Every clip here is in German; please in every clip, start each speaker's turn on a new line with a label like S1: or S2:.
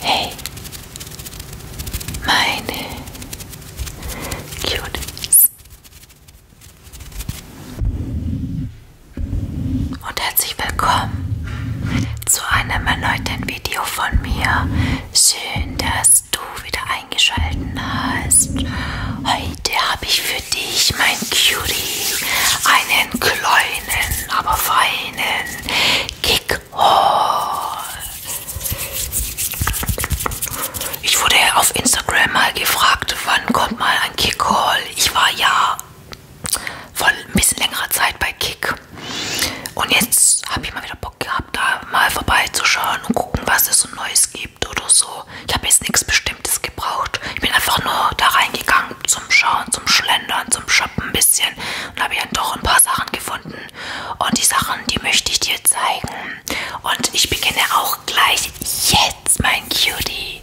S1: Hey, meine Cuties. Und herzlich willkommen zu einem erneuten Video von mir. Schön, dass dass du wieder eingeschalten hast. Heute habe ich für dich, mein Cutie, einen kleinen, aber feinen Kick-Haul. Ich wurde auf Instagram mal gefragt, wann kommt mal ein Kick-Haul. Ich war ja vor ein bisschen längerer Zeit bei Kick. Und jetzt habe ich mal wieder Bock Bock gehabt, da mal vorbeizuschauen und gucken, was es so Neues gibt oder so. Ich habe jetzt nichts Bestimmtes gebraucht. Ich bin einfach nur da reingegangen zum Schauen, zum Schlendern, zum Shoppen ein bisschen und habe ja doch ein paar Sachen gefunden. Und die Sachen, die möchte ich dir zeigen. Und ich beginne auch gleich jetzt, mein Cutie.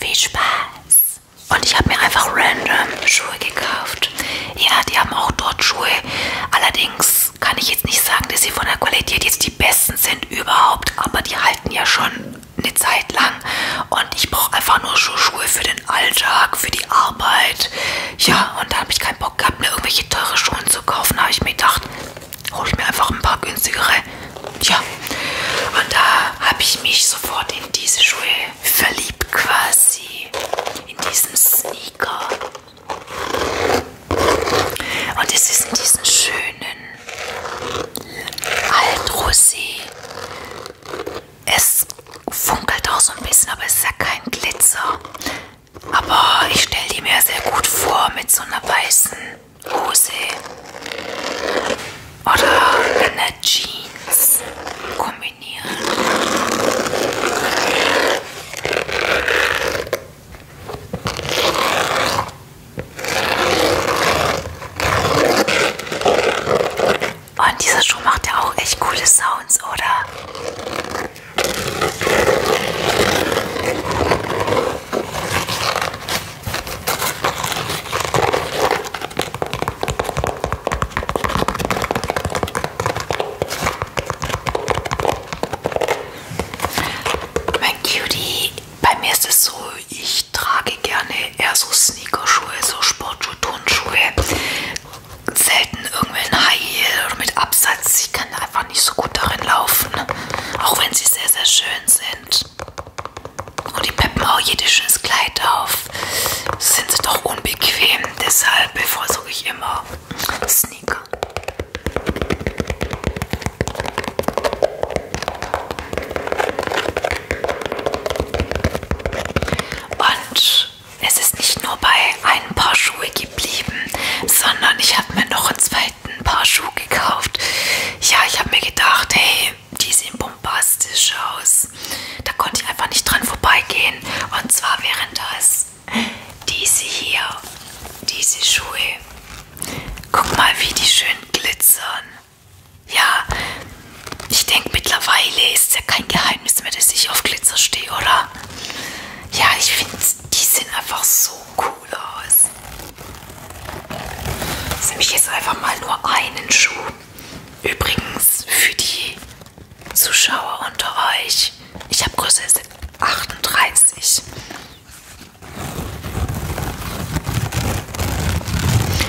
S1: Viel Spaß. Und ich habe mir einfach random Schuhe gekauft. Ja, die haben auch dort Schuhe. Allerdings kann ich jetzt nicht sagen, dass sie von der Qualität jetzt die besten sind überhaupt, aber die halten ja schon eine Zeit lang. Und ich brauche einfach nur Schuhe für den Alltag, für die Arbeit. Ja, und da habe ich keinen Bock gehabt, mir irgendwelche teure Schuhe zu kaufen. Da habe ich mir gedacht, hole ich mir einfach ein paar günstigere. Ja, und da habe ich mich sofort in diese Schuhe verliebt quasi in diesen Sneaker. Und es ist in diesen schönen Altrosé. Es funkelt auch so ein bisschen, aber es ist ja kein Glitzer. Aber ich stelle die mir sehr gut vor mit so einer weißen Hose oder einer Jeans. Kombi Oh, und dieser Schuh macht ja auch echt coole Sounds, oder? Mein Cutie, bei mir ist es so, ich trage gerne eher so Sneakerschuhe, so Sportschuhe, Turnschuhe. Selten irgendwelchen High Heel oder mit Absatz. Ich kann einfach nicht so gut darin laufen. Auch wenn sie sehr, sehr schön sind. Und die peppen auch jedes schönes Kleid auf sind sie doch unbequem. Deshalb bevorzuge ich immer Sneaker. Und es ist nicht nur bei ein paar Schuhe geblieben, sondern ich habe mir noch einen zweiten Paar Schuhe gekauft. Ja, ich habe mir gedacht, hey, die sind bombastisch aus. Da konnte ich einfach nicht dran vorbeigehen. Und zwar wären das diese hier, diese Schuhe. Guck mal, wie die schön glitzern. Ja, ich denke mittlerweile ist ja kein Geheimnis mehr, dass ich auf Glitzer stehe, oder? Ja, ich finde, die sehen einfach so cool aus. Jetzt nehme ich jetzt einfach mal nur einen Schuh. Übrigens für die Zuschauer unter euch, ich habe Größe 38.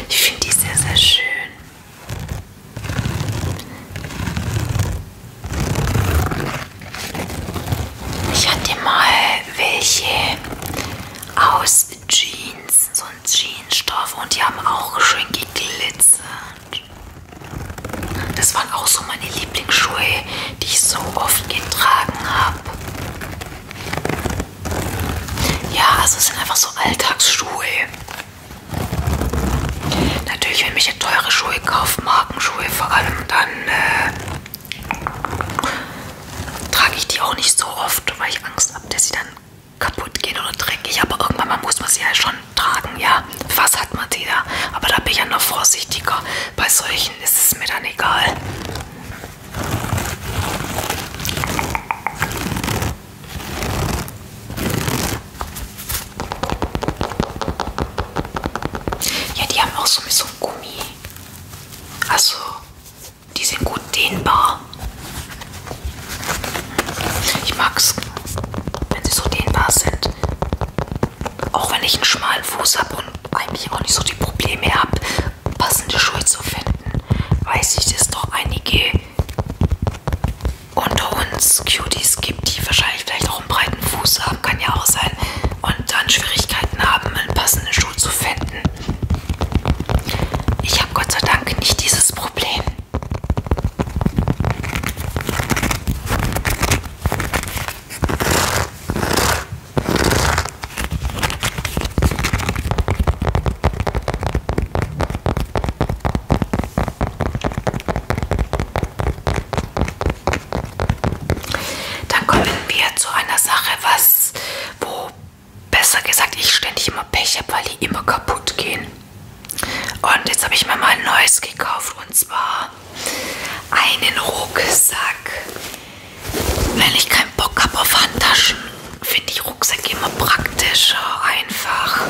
S1: Ich finde die sehr, sehr schön. Ich hatte mal welche aus Jeans, so und Jeansstoff und die haben auch schön geglitzert. Das waren auch so meine Lieblingsschuhe, die ich so oft getragen habe. Ja, also es sind einfach so Alltagsschuhe. Natürlich, wenn ich ja teure Schuhe kaufe, Markenschuhe vor allem, dann äh, trage ich die auch nicht so oft, weil ich Angst habe, dass sie dann kaputt gehen oder dreckig, aber irgendwann mal muss man sie ja schon tragen, ja. Was hat man die da? Aber da bin ich ja noch vorsichtiger. Bei solchen ist es mir dann egal. Ja, die haben auch so mit so einem Gummi. Also, die sind gut dehnbar. Ich mag's, wenn sie so dehnbar sind. Auch wenn ich einen schmalen Fuß habe und eigentlich auch nicht so die Probleme habe, passende Schuhe zu finden, weiß ich, dass es doch einige unter uns Cuties gibt, die wahrscheinlich vielleicht auch einen breiten Fuß haben, kann ja auch sein, und dann Schwierigkeiten haben, einen passenden Schuh zu finden. Ich habe Gott sei Dank nicht dieses Problem. Dann kommen wir zu einer Sache, was, wo besser gesagt, ich ständig immer Pech habe, weil die immer kaputt gehen. Und jetzt habe ich mir mal ein neues gekauft und zwar einen Rucksack. Wenn ich keinen Bock habe auf Handtaschen, finde ich Rucksack immer praktischer, einfach.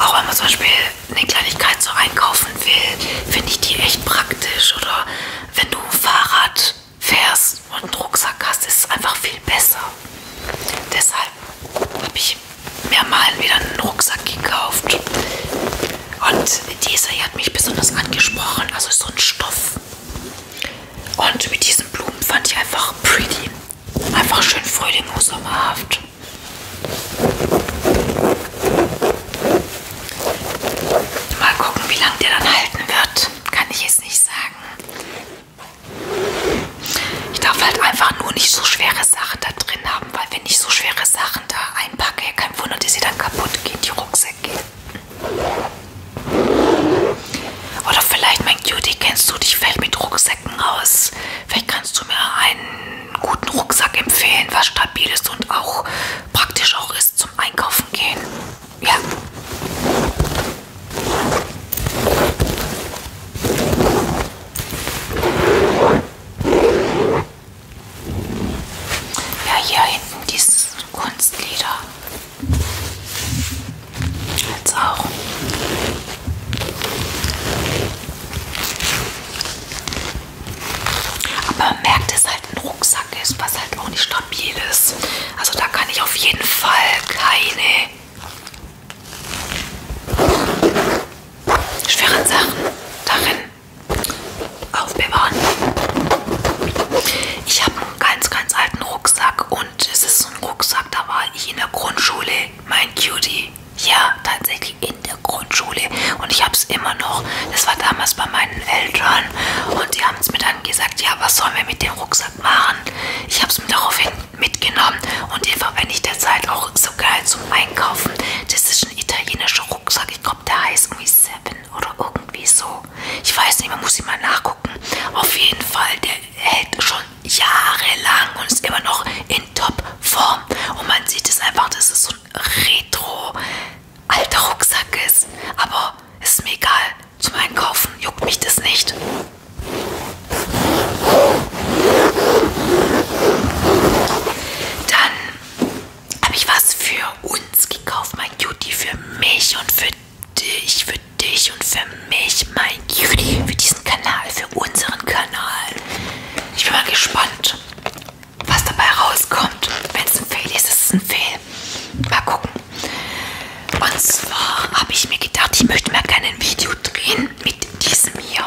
S1: Auch wenn man zum Beispiel eine Kleinigkeit so einkaufen will, finde ich die echt praktisch. Oder wenn du ein Fahrrad fährst und einen Rucksack hast, ist es einfach viel besser. Deshalb habe ich mir mal wieder einen Rucksack gekauft. Und dieser hier hat mich besonders angesprochen. Also so ein Stoff. Und mit diesen Blumen fand ich einfach pretty. Einfach schön frühling und sommerhaft. Mal gucken, wie lange der dann halten wird kann ich jetzt nicht sagen. Ich darf halt einfach nur nicht so schwere Sachen da drin haben, weil wenn ich so schwere Sachen da einpacke, kein Wunder, dass sie dann kaputt gehen, die Rucksäcke. Oder vielleicht, mein Cutie, kennst du dich vielleicht mit Rucksäcken aus? Vielleicht kannst du mir einen guten Rucksack empfehlen, was stabil ist und auch praktisch auch ist zum Einkaufen gehen. Ja. Ja, hier hinten dieses Kunstleder. Jetzt auch. Aber man merkt es halt im Rucksack. Rucksack ist, was halt auch nicht stabil ist. Also da kann ich auf jeden Fall keine schweren Sachen darin aufbewahren. Ich habe einen ganz, ganz alten Rucksack und es ist so ein Rucksack, da war ich in der Grundschule, mein Cutie. Ja, tatsächlich in der Grundschule. Und ich habe es immer noch. Das war damals bei meinen Eltern. Und die abends mir dann gesagt, ja, was sollen wir mit dem Rucksack machen? Ich habe es mir daraufhin mitgenommen und den verwende ich derzeit auch so geil zum Einkaufen. Das ist ein italienischer Rucksack. Ich glaube, der heißt irgendwie Seven oder irgendwie so. Ich weiß nicht, man muss ihn mal nachgucken. Auf jeden Fall, der hält schon jahrelang und ist immer noch in Top-Form. Und man sieht es einfach, das ist so ein Retro- alter Rucksack ist. Aber ist mir egal. Zum Einkaufen juckt mich das nicht. Dann habe ich was für uns gekauft, mein Cutie, für mich und für dich, für dich und für mich, mein Cutie, für diesen Kanal, für unseren Kanal. Ich bin mal gespannt, was dabei rauskommt. Wenn es ein Fail ist, ist es ein Fail. Mal gucken. Und zwar habe ich mir gedacht, ich möchte mal gerne ein Video drehen mit diesem hier.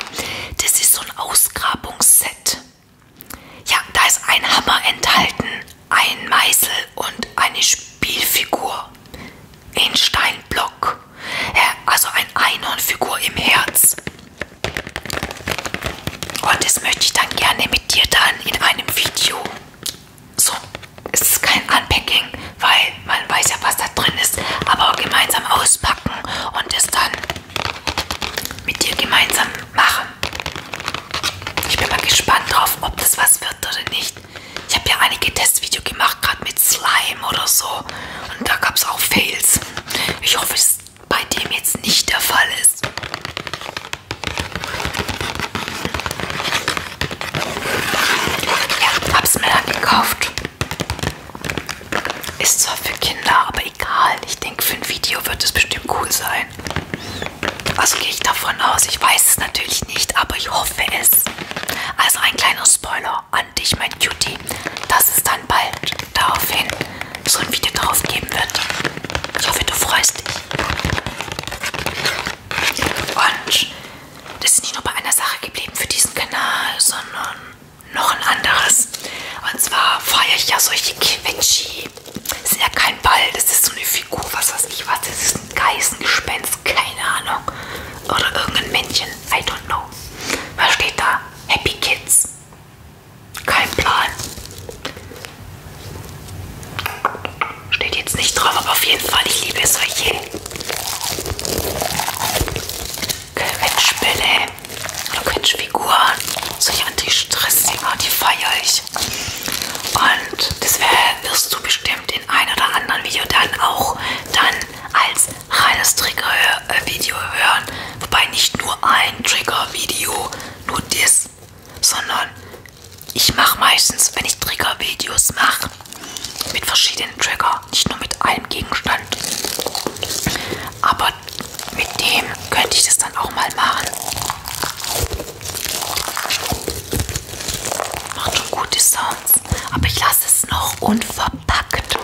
S1: Das ist so ein Ausgrabungsset. Ja, da ist ein Hammer enthalten, ein Meißel und eine Spielfigur. Ein Steinblock. Also ein Einhornfigur im Herz. Und das möchte ich dann gerne mit dir dann in einem Video. So, es ist kein Unpacking, weil man weiß ja, was da drin ist, aber gemeinsam auspacken und es dann mit dir gemeinsam machen. Ich bin mal gespannt drauf, ob das was wird oder nicht. Ich habe ja einige Testvideos gemacht, gerade mit Slime oder so. Und da gab es auch Fails. Ich hoffe, es bei dem jetzt nicht der Fall ist. Ja, hab's mir dann gekauft. Ist zwar für Kinder, aber egal. Ich denke, für ein Video wird es bestimmt cool sein. Also gehe ich davon aus. Ich weiß es natürlich nicht, aber ich hoffe es. Also ein kleiner Spoiler an dich, mein Cutie, dass es dann bald daraufhin so ein Video drauf geben wird. Ich hoffe, du freust dich. Und das ist nicht nur bei einer Sache geblieben für diesen Kanal, sondern noch ein anderes. Und zwar feiere ich ja solche Quetschi. Das ist ja kein Ball, das ist so eine Figur, was weiß ich was. Das ist ein Geißengespenst, keine Ahnung. Oder irgendein Männchen, I don't know. Was steht da? Happy Kids. Kein Plan. Steht jetzt nicht drauf, aber auf jeden Fall, ich liebe es solche Quetschbälle, Quetschfiguren, solche Anti-Stress-Dinger, die feiere ich. Und das wär, wirst du bestimmt in ein oder anderen Video dann auch dann als reines Trigger-Video äh, hören. Wobei nicht nur ein Trigger-Video, nur das, sondern ich mache meistens, wenn ich Trigger-Videos mache, mit verschiedenen Trigger, nicht nur mit einem Gegenstand. Aber mit dem könnte ich das dann auch mal machen. Macht schon gute Sounds, aber ich lasse es noch unverpackt.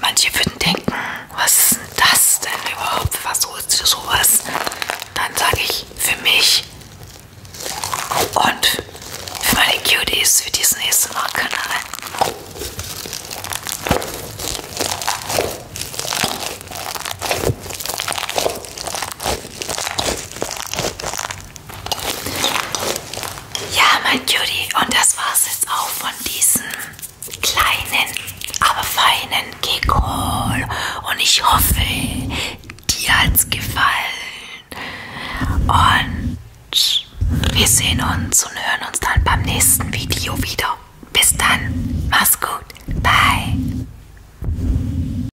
S1: Manche würden denken, was ist denn das denn überhaupt? Was holst du sowas? Dann sage ich, für mich und für meine Cuties für diesen nächsten Kanal. Ja, mein Cutie, und das war's jetzt auch von diesem kleinen, aber feinen Kekol. Und ich hoffe, dir hat's gefallen. Und wir sehen uns und hören uns dann beim nächsten Video wieder. Bis dann, mach's gut, bye.